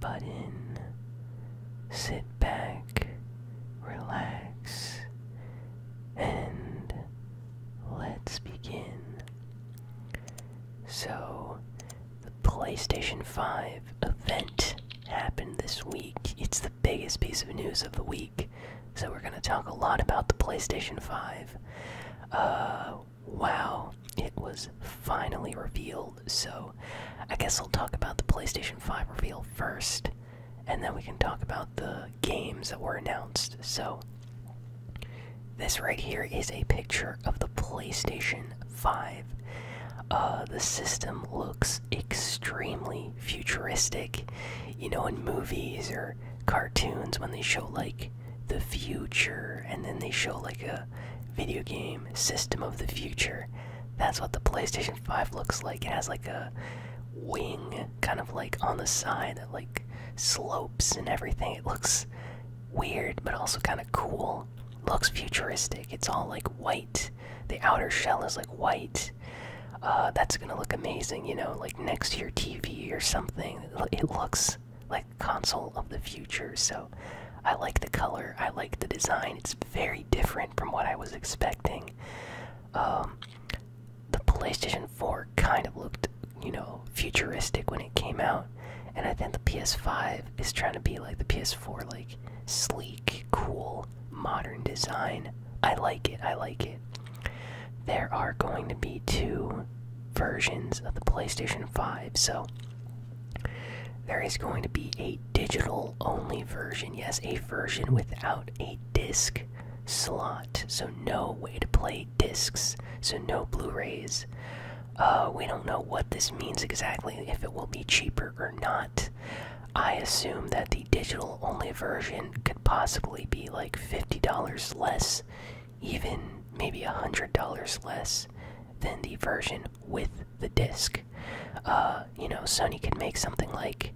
button. Sit back, relax, and let's begin. So, the PlayStation 5 event happened this week. It's the biggest piece of news of the week. So, we're going to talk a lot about the PlayStation 5. Uh, wow, it was finally revealed. So, I guess I'll talk about the PlayStation 5 reveal first, and then we can talk about the games that were announced. So, this right here is a picture of the PlayStation 5. Uh, the system looks extremely futuristic. You know, in movies or cartoons, when they show like the future and then they show like a video game system of the future that's what the playstation 5 looks like it has like a wing kind of like on the side that like slopes and everything it looks weird but also kind of cool looks futuristic it's all like white the outer shell is like white uh, that's gonna look amazing you know like next to your tv or something it looks like console of the future. So I like the color, I like the design. It's very different from what I was expecting. Um, the PlayStation 4 kind of looked, you know, futuristic when it came out, and I think the PS5 is trying to be like the PS4, like sleek, cool, modern design. I like it, I like it. There are going to be two versions of the PlayStation 5. So there is going to be a digital only version. Yes, a version without a disc slot. So no way to play discs. So no Blu rays. Uh, we don't know what this means exactly, if it will be cheaper or not. I assume that the digital only version could possibly be like $50 less even maybe a hundred dollars less than the version with the disc. Uh, you know, Sony could make something like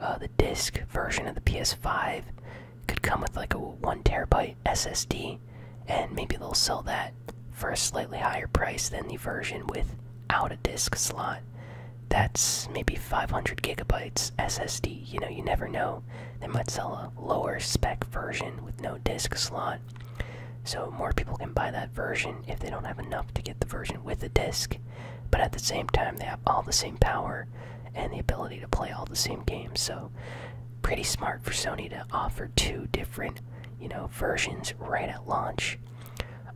uh, the disc version of the PS5 could come with like a one terabyte SSD, and maybe they'll sell that for a slightly higher price than the version without a disc slot. That's maybe 500 gigabytes SSD. You know, you never know. They might sell a lower spec version with no disc slot so more people can buy that version if they don't have enough to get the version with the disc. But at the same time, they have all the same power and the ability to play all the same games. So pretty smart for Sony to offer two different, you know, versions right at launch.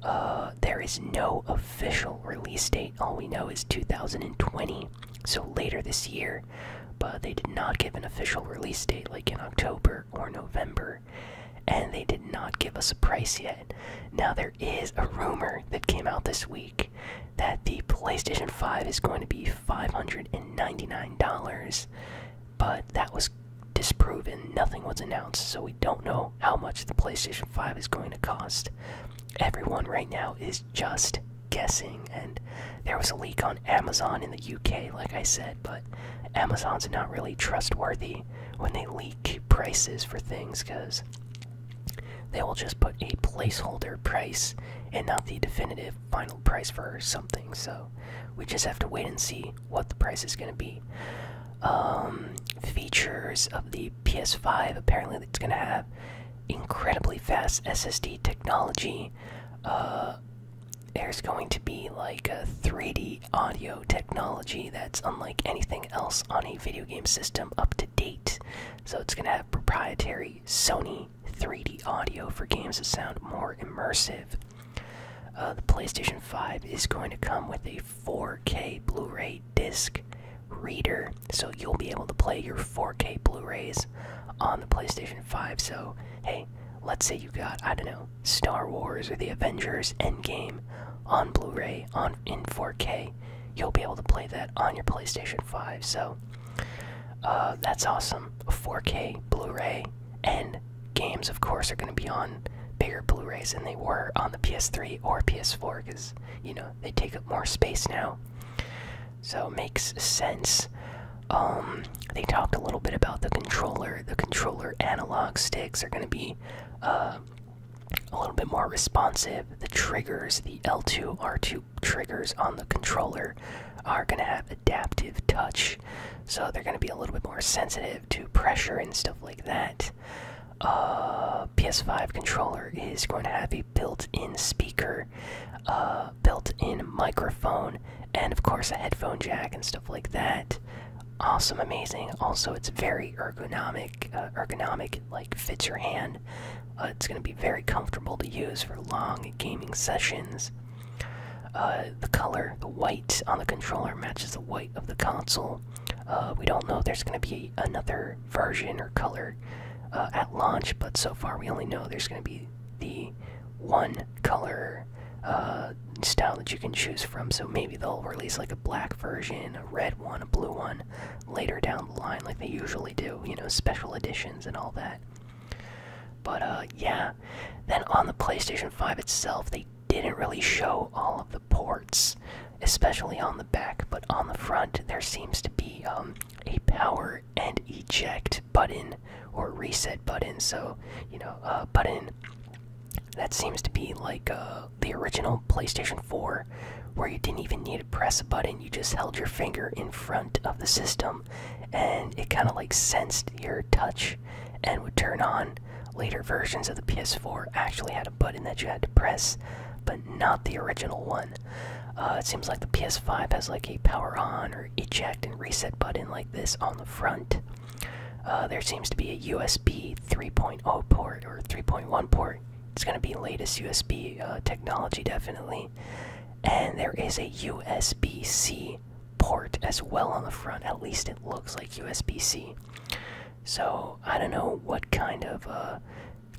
Uh, there is no official release date. All we know is 2020. So later this year, but they did not give an official release date like in October or November, and they did not give us a price yet. Now, there is a rumor that came out this week that the PlayStation 5 is going to be $599, but that was disproven. Nothing was announced, so we don't know how much the PlayStation 5 is going to cost. Everyone right now is just guessing, and there was a leak on Amazon in the UK, like I said, but Amazon's not really trustworthy when they leak prices for things because they will just put a placeholder price and not the definitive final price for something. So we just have to wait and see what the price is going to be. Um, features of the PS5 apparently it's going to have incredibly fast SSD technology. Uh, there's going to be like a 3D audio technology that's unlike anything else on a video game system up to date. So it's going to have proprietary Sony 3D audio for games that sound more immersive. Uh, the PlayStation 5 is going to come with a 4K Blu ray disc reader, so you'll be able to play your 4K Blu rays on the PlayStation 5. So, hey, let's say you got, I don't know, Star Wars or the Avengers Endgame on Blu ray on in 4K. You'll be able to play that on your PlayStation 5. So, uh, that's awesome. 4K Blu ray and games, of course, are going to be on bigger Blu rays than they were on the PS3 or PS4 because, you know, they take up more space now so makes sense. Um, they talked a little bit about the controller. The controller analog sticks are going to be uh, a little bit more responsive. The triggers, the L2, R2 triggers on the controller, are going to have adaptive touch, so they're going to be a little bit more sensitive to pressure and stuff like that. Uh, PS5 controller is going to have a built-in speaker. Uh, built-in microphone and of course a headphone jack and stuff like that awesome amazing also it's very ergonomic uh, ergonomic like fits your hand uh, it's going to be very comfortable to use for long gaming sessions uh, the color the white on the controller matches the white of the console we don't know if there's going to be another version or color at launch but so far we only know there's going to be the one color uh, style that you can choose from. So maybe they'll release like a black version, a red one, a blue one later down the line, like they usually do, you know, special editions and all that. But uh, yeah, then on the PlayStation 5 itself, they didn't really show all of the ports, especially on the back, but on the front, there seems to be um, a power and eject button or reset button. So, you know, a button that seems to be like uh, the original PlayStation 4, where you didn't even need to press a button, you just held your finger in front of the system and it kind of like sensed your touch and would turn on. Later versions of the PS4 actually had a button that you had to press, but not the original one. Uh, it seems like the PS5 has like a power on eject and reset button like this on the front. Uh, there seems to be a USB 3.0 port or 3.1 port. It's going to be latest USB uh, technology, definitely. And there is a USB C port as well on the front. At least it looks like USB C. So I don't know what kind of uh,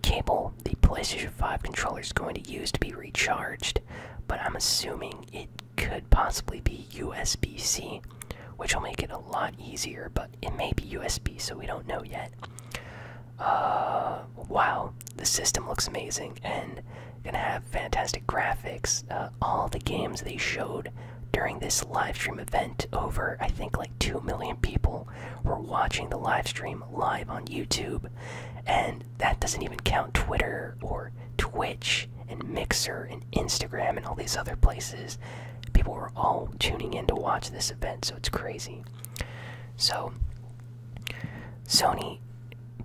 cable the PlayStation 5 controller is going to use to be recharged but I'm assuming it could possibly be USB C, which will make it a lot easier, but it may be USB, so we don't know yet. Uh, wow, the system looks amazing and gonna have fantastic graphics. Uh, all the games they showed during this live stream event, over I think like 2 million people were watching the live stream live on YouTube, and that doesn't even count Twitter or Twitch and Mixer and Instagram and all these other places. People were all tuning in to watch this event, so it's crazy. So, Sony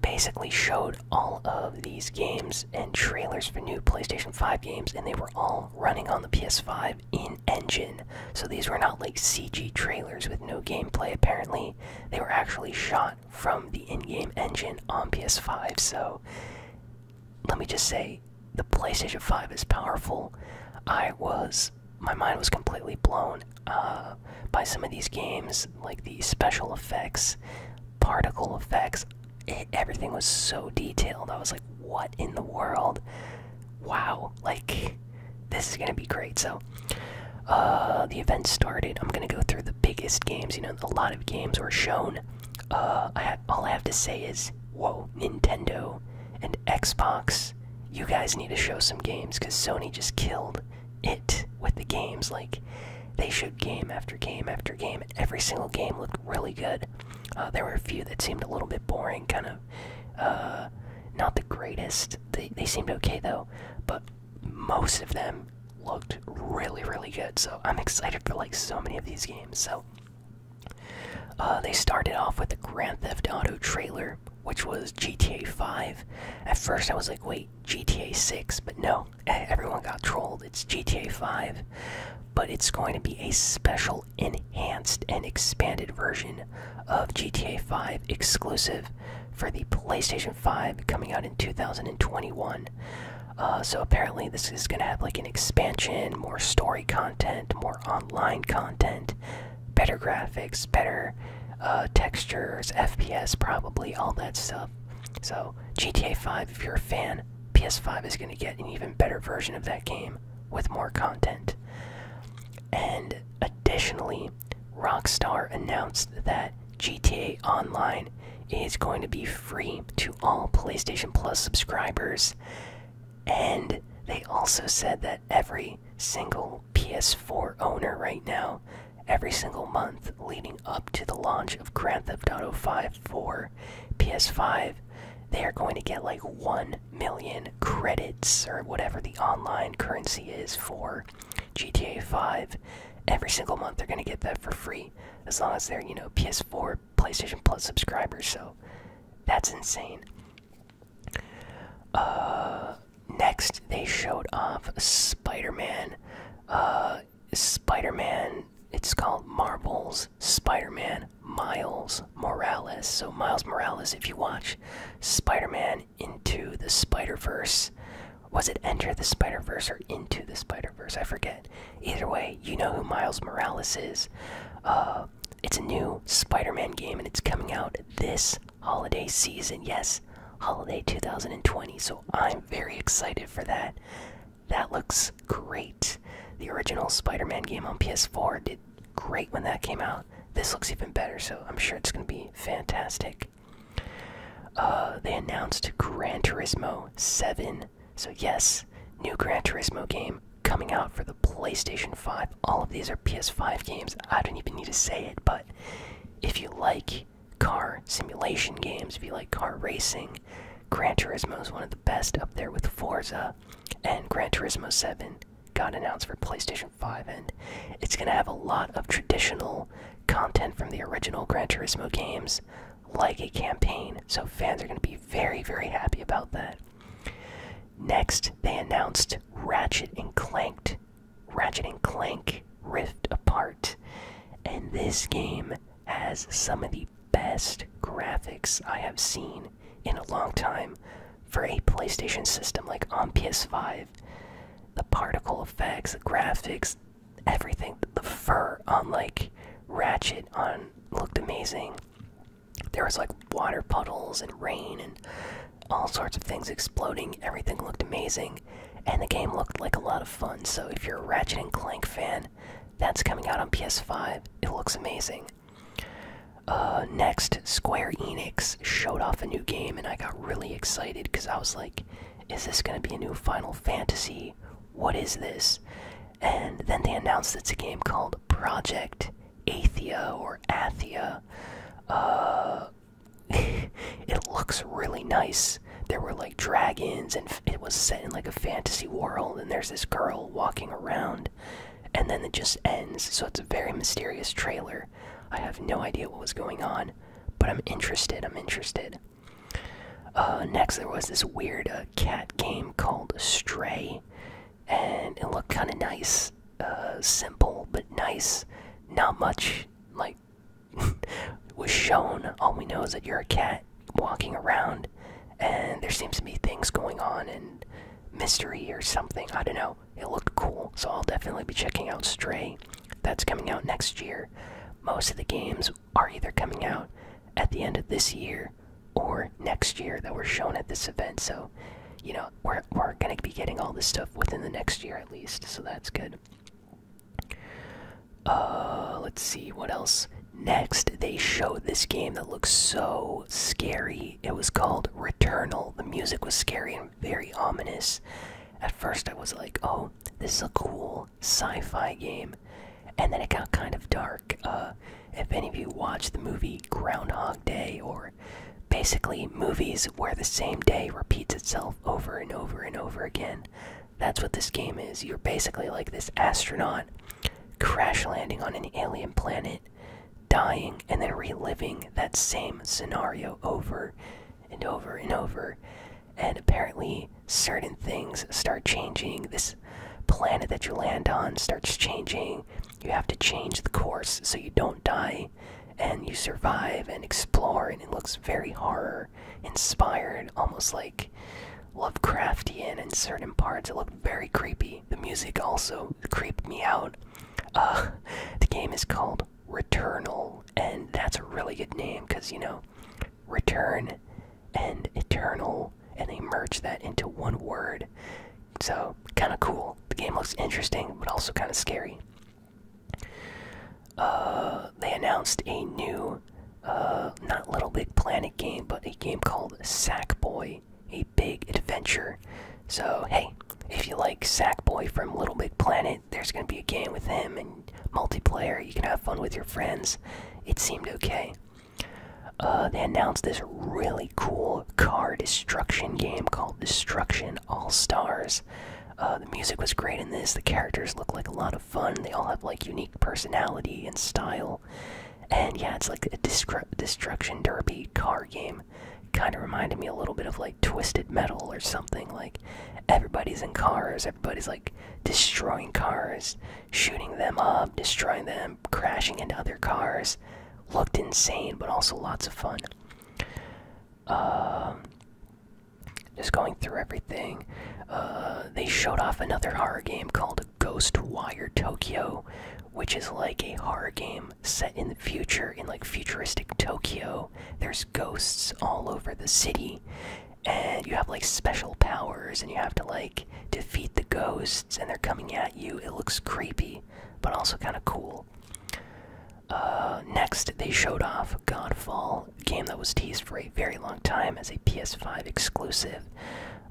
basically showed all of these games and trailers for new PlayStation 5 games, and they were all running on the PS5 in engine. So, these were not like CG trailers with no gameplay, apparently. They were actually shot from the in game engine on PS5. So let me just say the PlayStation 5 is powerful. I was. My mind was completely blown uh, by some of these games, like the special effects, particle effects. everything was so detailed. I was like, what in the world? Wow, like, this is gonna be great. So, uh, the event started. I'm gonna go through the biggest games. You know, a lot of games were shown. Uh, all I have to say is, whoa, Nintendo and Xbox, you guys need to show some games because Sony just killed it with the games. Like, they showed game after game after game, every single game looked really good. Uh, there were a few that seemed a little bit boring, kind of not the greatest. They, they seemed okay though, but most of them looked really, really good. So I'm excited for like so many of these games. So uh, they started off with the Grand Theft Auto trailer, which was GTA 5. At first, I was like, wait, GTA 6, but no, everyone got trolled. It's GTA 5, but it's going to be a special, enhanced, and expanded version of GTA 5 exclusive for the PlayStation 5 coming out in 2021. Uh, so apparently, this is going to have like an expansion, more story content, more online content, better graphics, better uh, textures, FPS, probably all that stuff. So GTA 5, if you're a fan, PS5 is going to get an even better version of that game with more content. And additionally, Rockstar announced that GTA Online is going to be free to all PlayStation Plus subscribers. And they also said that every single PS4 owner right now, every single month leading up to the launch of Grand Theft Auto 5 for PS5, they are going to get like 1 million credits or whatever the online currency is for GTA 5, every single month they're gonna get that for free as long as they're you know PS4, PlayStation Plus subscribers. So that's insane. Uh, next they showed off Spider-Man. Uh, Spider-Man. It's called Marvel's Spider-Man Miles Morales. So Miles Morales, if you watch Spider-Man into the Spider Verse. Was it Enter the Spider Verse or Into the Spider Verse? I forget. Either way, you know who Miles Morales is. Uh, it's a new Spider Man game and it's coming out this holiday season. Yes, holiday 2020. So I'm very excited for that. That looks great. The original Spider Man game on PS4 did great when that came out. This looks even better, so I'm sure it's going to be fantastic. Uh, they announced Gran Turismo 7. So, yes, new Gran Turismo game coming out for the PlayStation 5. All of these are PS5 games. I don't even need to say it, but if you like car simulation games, if you like car racing, Gran Turismo is one of the best up there with Forza. And Gran Turismo 7 got announced for PlayStation 5, and it's going to have a lot of traditional content from the original Gran Turismo games, like a campaign. So fans are going to be very, very happy about that. Next, they announced Ratchet and Clank, Ratchet and Clank Rift Apart, and this game has some of the best graphics I have seen in a long time for a PlayStation system, like on PS5 the particle effects, the graphics, everything. The fur on like Ratchet on looked amazing. There was like water puddles and rain and all sorts of things exploding. Everything looked amazing, and the game looked like a lot of fun. So if you're a Ratchet and Clank fan, that's coming out on PS5. It looks amazing. Uh, next, Square Enix showed off a new game, and I got really excited because I was like, is this going to be a new Final Fantasy? What is this? And then they announced it's a game called Project Aethia or Aethia. Uh, it looks really nice. There were like dragons, and it was set in like a fantasy world, and there's this girl walking around, and then it just ends. So it's a very mysterious trailer. I have no idea what was going on but I'm interested. I'm interested. Uh, next, there was this weird uh, cat game called Stray, and it looked kind of nice, uh, simple but nice. Not much like was shown. All we know is that you're a cat walking around, and there seems to be things going on and mystery or something. I don't know it looked cool. So I'll definitely be checking out Stray. That's coming out next year. Most of the games are either coming out at the end of this year or next year that were shown at this event. So, you know, we're, we're going to be getting all this stuff within the next year at least. So that's good. Uh, let's see what else. Next, they showed this game that looks so scary. It was called Returnal. The music was scary very ominous. At first, I was like, oh, this is a cool sci fi game. And then it got kind of dark. Uh, if any of you watched the movie Groundhog Day, or basically movies where the same day repeats itself over and over and over again, that's what this game is. You're basically like this astronaut crash landing on an alien planet, dying, and then reliving that same scenario over and over and over. And apparently, certain things start changing. This planet that you land on starts changing. You have to change the course so you don't die and you survive and explore. And it looks very horror inspired, almost like Lovecraftian in certain parts. It looked very creepy. The music also creeped me out. Uh, the game is called Returnal, and that's a really good name because you know, return and eternal, and they merge that into one word. So, kind of cool. The game looks interesting, but also kind of scary. Uh, they announced a new, uh, not Little Big Planet game, but a game called Sackboy, a big adventure. So, hey, if you like Sackboy from Little Big Planet, there's going to be a game with him and multiplayer. You can have fun with your friends. It seemed okay. Uh, they announced this really cool car destruction game called Destruction All Stars. Uh, the music was great in this. The characters look like a lot of fun. They all have like unique personality and style. And yeah, it's like a destruction derby car game kind of reminded me a little bit of like Twisted Metal or something. Like everybody's in cars, everybody's like destroying cars, shooting them up, destroying them, crashing into other cars. Looked insane, but also lots of fun. Um, just going through everything. Uh, they showed off another horror game called Ghost Wire Tokyo, which is like a horror game set in the future in like futuristic Tokyo there's ghosts all over the city, and you have like special powers, and you have to like defeat the ghosts, and they're coming at you. It looks creepy, but also kind of cool. Uh, next, they showed off Godfall, a game that was teased for a very long time as a PS5 exclusive.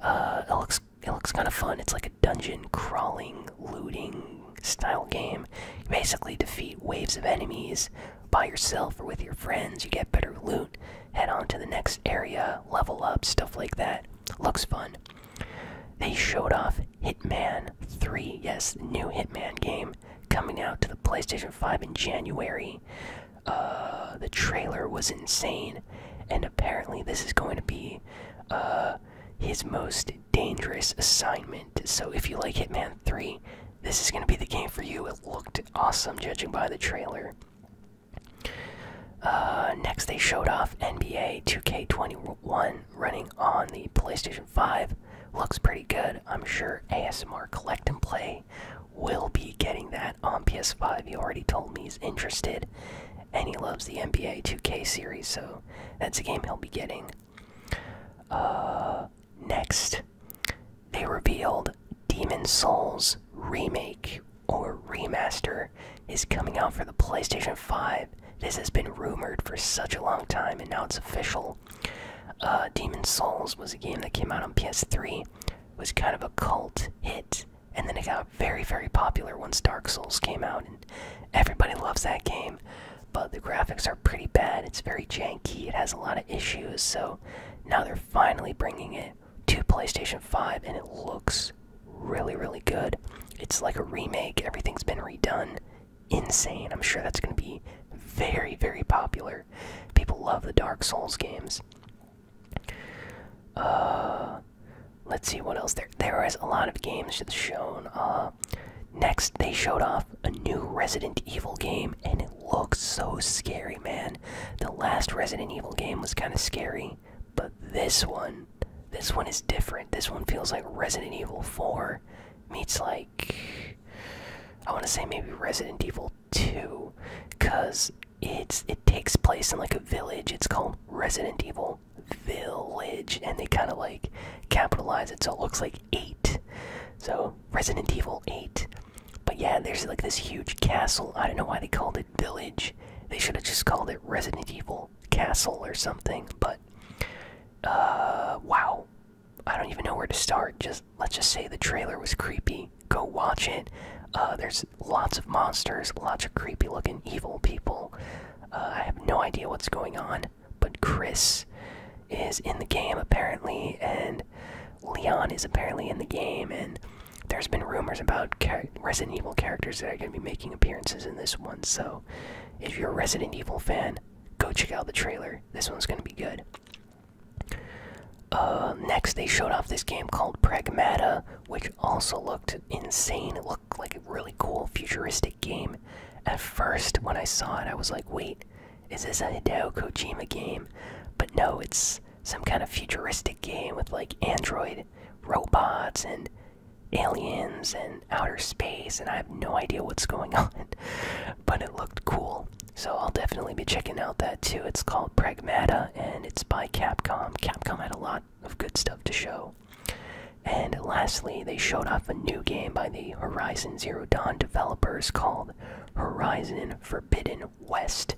Uh, it looks it looks kind of fun. It's like a dungeon crawling, looting style game. basically defeat waves of enemies by yourself or with your friends. You get better loot, head on to the next area, level up, stuff like that. Looks fun. They showed off Hitman 3, yes, the new Hitman game coming out to the PlayStation 5 in January. Uh, the trailer was insane, and apparently, this is going to be uh, his most dangerous assignment. So if you like Hitman 3, this is going to be the game for you. It looked awesome judging by the trailer. Uh, next, they showed off NBA 2K21 running on the PlayStation 5. Looks pretty good. I'm sure ASMR Collect and Play will be getting that on PS5. He already told me he's interested, and he loves the NBA 2K series, so that's a game he'll be getting. Uh, Next, they revealed Demon Souls Remake or Remaster is coming out for the PlayStation 5. This has been rumored for such a long time and now it's official. Uh, Demon Souls was a game that came out on PS3, was kind of a cult hit, and then it got very, very popular once Dark Souls came out, and everybody loves that game but the graphics are pretty bad. It's very janky. It has a lot of issues. So now they're finally bringing it to PlayStation 5 and it looks really really good. It's like a remake. Everything's been redone. Insane. I'm sure that's going to be very very popular. People love the Dark Souls games. Uh let's see what else there there is a lot of games shown. up. Uh, Next, they showed off a new Resident Evil game, and it looks so scary, man. The last Resident Evil game was kind of scary, but this one, this one is different. This one feels like Resident Evil 4 meets like I want to say maybe Resident Evil 2, cause it's it takes place in like a village. It's called Resident Evil Village, and they kind of like capitalize it so it looks like eight so, Resident Evil 8. But yeah, there's like this huge castle. I don't know why they called it Village. They should have just called it Resident Evil Castle or something. But, uh, wow. I don't even know where to start. Just let's just say the trailer was creepy. Go watch it. Uh, there's lots of monsters, lots of creepy looking evil people. Uh, I have no idea what's going on but Chris is in the game apparently, and Leon is apparently in the game, and there's been rumors about Resident Evil characters that are going to be making appearances in this one. So, if you're a Resident Evil fan, go check out the trailer. This one's going to be good. Uh, next, they showed off this game called Pragmata, which also looked insane. It looked like a really cool futuristic game at first, when I saw it, I was like, wait, is this a Hideo Kojima game? But no, it's some kind of futuristic game with like android robots and aliens and outer space, and I have no idea what's going on. but it looked cool. So I'll definitely be checking out that too. It's called Pragmata and it's by Capcom. Capcom had a lot of good stuff to show. And lastly, they showed off a new game by the Horizon Zero Dawn developers called Horizon Forbidden West.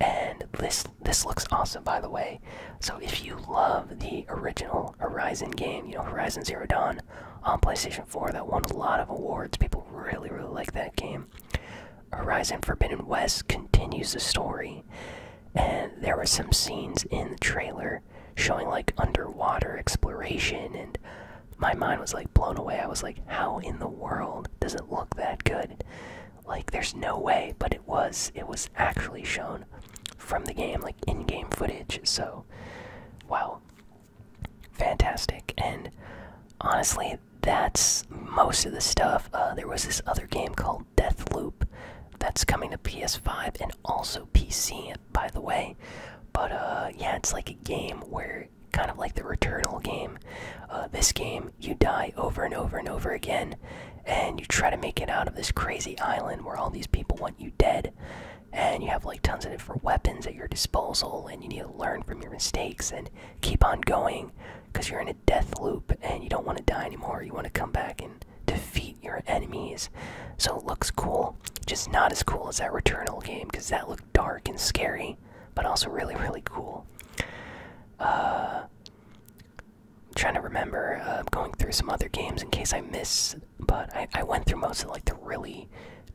And this this looks awesome, by the way. So if you love the original Horizon game, you know Horizon Zero Dawn on PlayStation 4 that won a lot of awards, people really really like that game. Horizon Forbidden West continues the story, and there were some scenes in the trailer showing like underwater exploration and my mind was like blown away. I was like, how in the world does it look that good? Like there's no way, but it was it was actually shown from the game, like in-game footage. So wow. Fantastic. And honestly, that's most of the stuff. Uh, there was this other game called Death Loop that's coming to PS5 and also PC, by the way. But uh, yeah, it's like a game where, kind of like the Returnal game, uh, this game you die over and over and over again, and you try to make it out of this crazy island where all these people want you dead, and you have like tons of different weapons at your disposal, and you need to learn from your mistakes and keep on going because you're in a death loop and you don't want to die anymore. You want to come back and defeat your enemies. So it looks cool. Just not as cool as that Returnal game because that looked dark and scary, but also really, really cool. Uh, I'm trying to remember uh, going through some other games in case I miss, but I, I went through most of like the really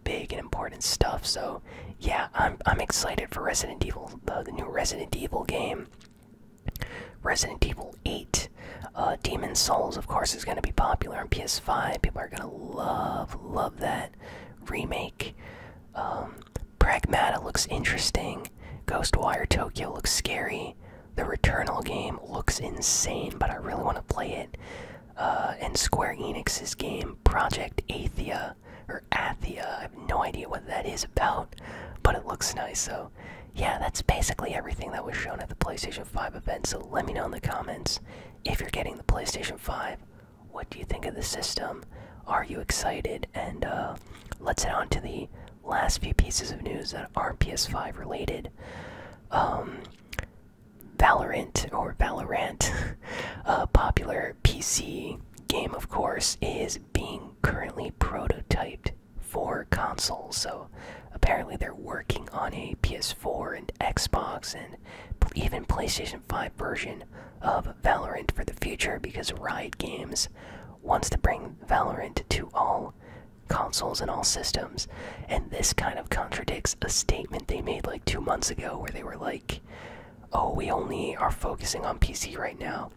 big and important stuff. So yeah, I'm I'm excited for Resident Evil, the new Resident Evil game. Resident Evil 8 uh, Demon Souls, of course, is going to be popular on PS5. People are going to love, love that remake. Um, Pragmata looks interesting. Ghostwire Tokyo looks scary. The Returnal game looks insane, but I really want to play it. Uh, and Square Enix's game, Project Athia, or Athia, I have no idea what that is about, but it looks nice. So, yeah, that's basically everything that was shown at the PlayStation 5 events. so let me know in the comments if you're getting the PlayStation 5. What do you think of the system? Are you excited? And uh, let's head on to the last few pieces of news that are PS5 related. Um, Valorant, or Valorant, a uh, popular PC game, of course, is being currently prototyped for consoles. So apparently they're working on a PS4 and Xbox and even PlayStation 5 version of Valorant for the future because Riot Games wants to bring Valorant to all consoles and all systems. And this kind of contradicts a statement they made like two months ago where they were like, oh, we only are focusing on PC right now.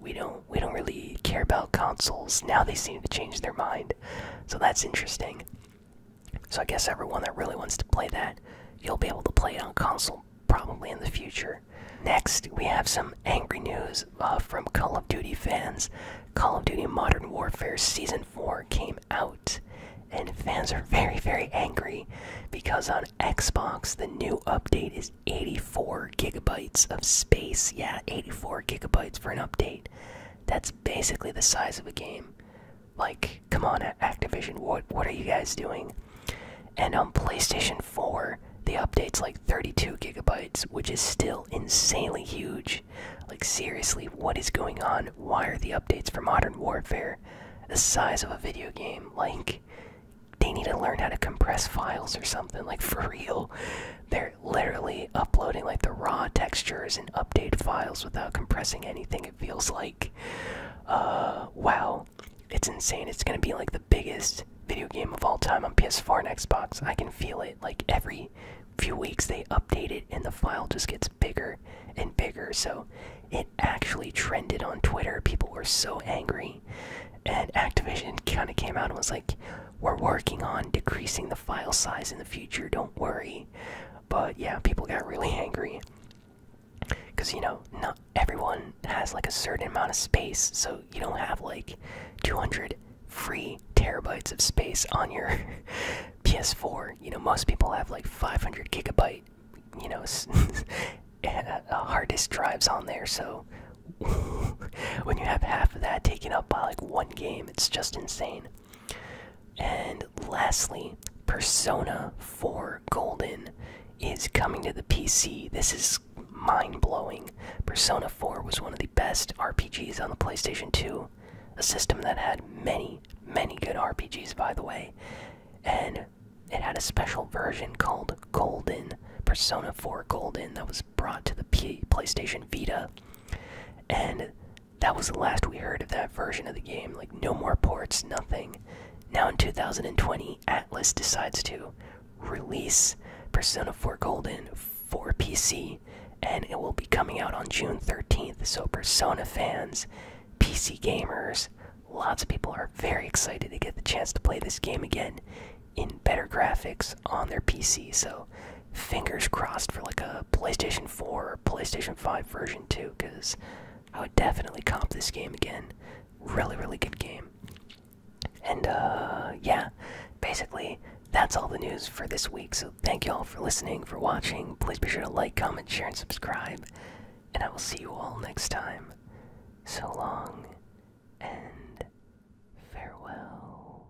We don't we don't really care about consoles. Now they seem to change their mind. So that's interesting. So I guess everyone that really wants to play that, you'll be able to play it on console probably in the future. Next, we have some angry news uh, from Call of Duty fans. Call of Duty Modern Warfare Season 4 came out, and fans are very, very angry because on Xbox, the new update is 84 gigabytes of space. Yeah, 84 gigabytes for an update. That's basically the size of a game. Like, come on, Activision, what what are you guys doing? And on um, PlayStation 4, the update's like 32 gigabytes, which is still insanely huge. Like, seriously, what is going on? Why are the updates for Modern Warfare the size of a video game? Like, they need to learn how to compress files or something. Like, for real, they're literally uploading like the raw textures and update files without compressing anything it feels like uh, wow it's insane it's gonna be like the biggest video game of all time on ps4 and xbox i can feel it like every few weeks they update it and the file just gets bigger and bigger so it actually trended on twitter people were so angry and activision kind of came out and was like we're working on decreasing the file size in the future don't worry but yeah, people got really angry. Because, you know, not everyone has like a certain amount of space, so you don't have like 200 free terabytes of space on your PS4. You know, most people have like 500 gigabyte, you know, uh, hard disk drives on there, so. when you have half of that taken up by like one game, it's just insane. And lastly, Persona 4 Golden is coming to the PC. This is mind blowing. Persona 4 was one of the best RPGs on the PlayStation 2, a system that had many, many good RPGs, by the way. And it had a special version called Golden, Persona 4 Golden, that was brought to the PlayStation Vita. And that was the last we heard of that version of the game. Like, no more ports, nothing. Now in 2020, Atlas decides to release Persona 4 Golden for PC, and it will be coming out on June 13th. So, Persona fans, PC gamers, lots of people are very excited to get the chance to play this game again in better graphics on their PC. So, fingers crossed for like a PlayStation 4 or PlayStation 5 version too, because I would definitely comp this game again. Really, really good game. And uh, yeah, basically that's all the news for this week. So thank you all for listening, for watching. Please be sure to like, comment, share, and subscribe. And I will see you all next time. So long and farewell.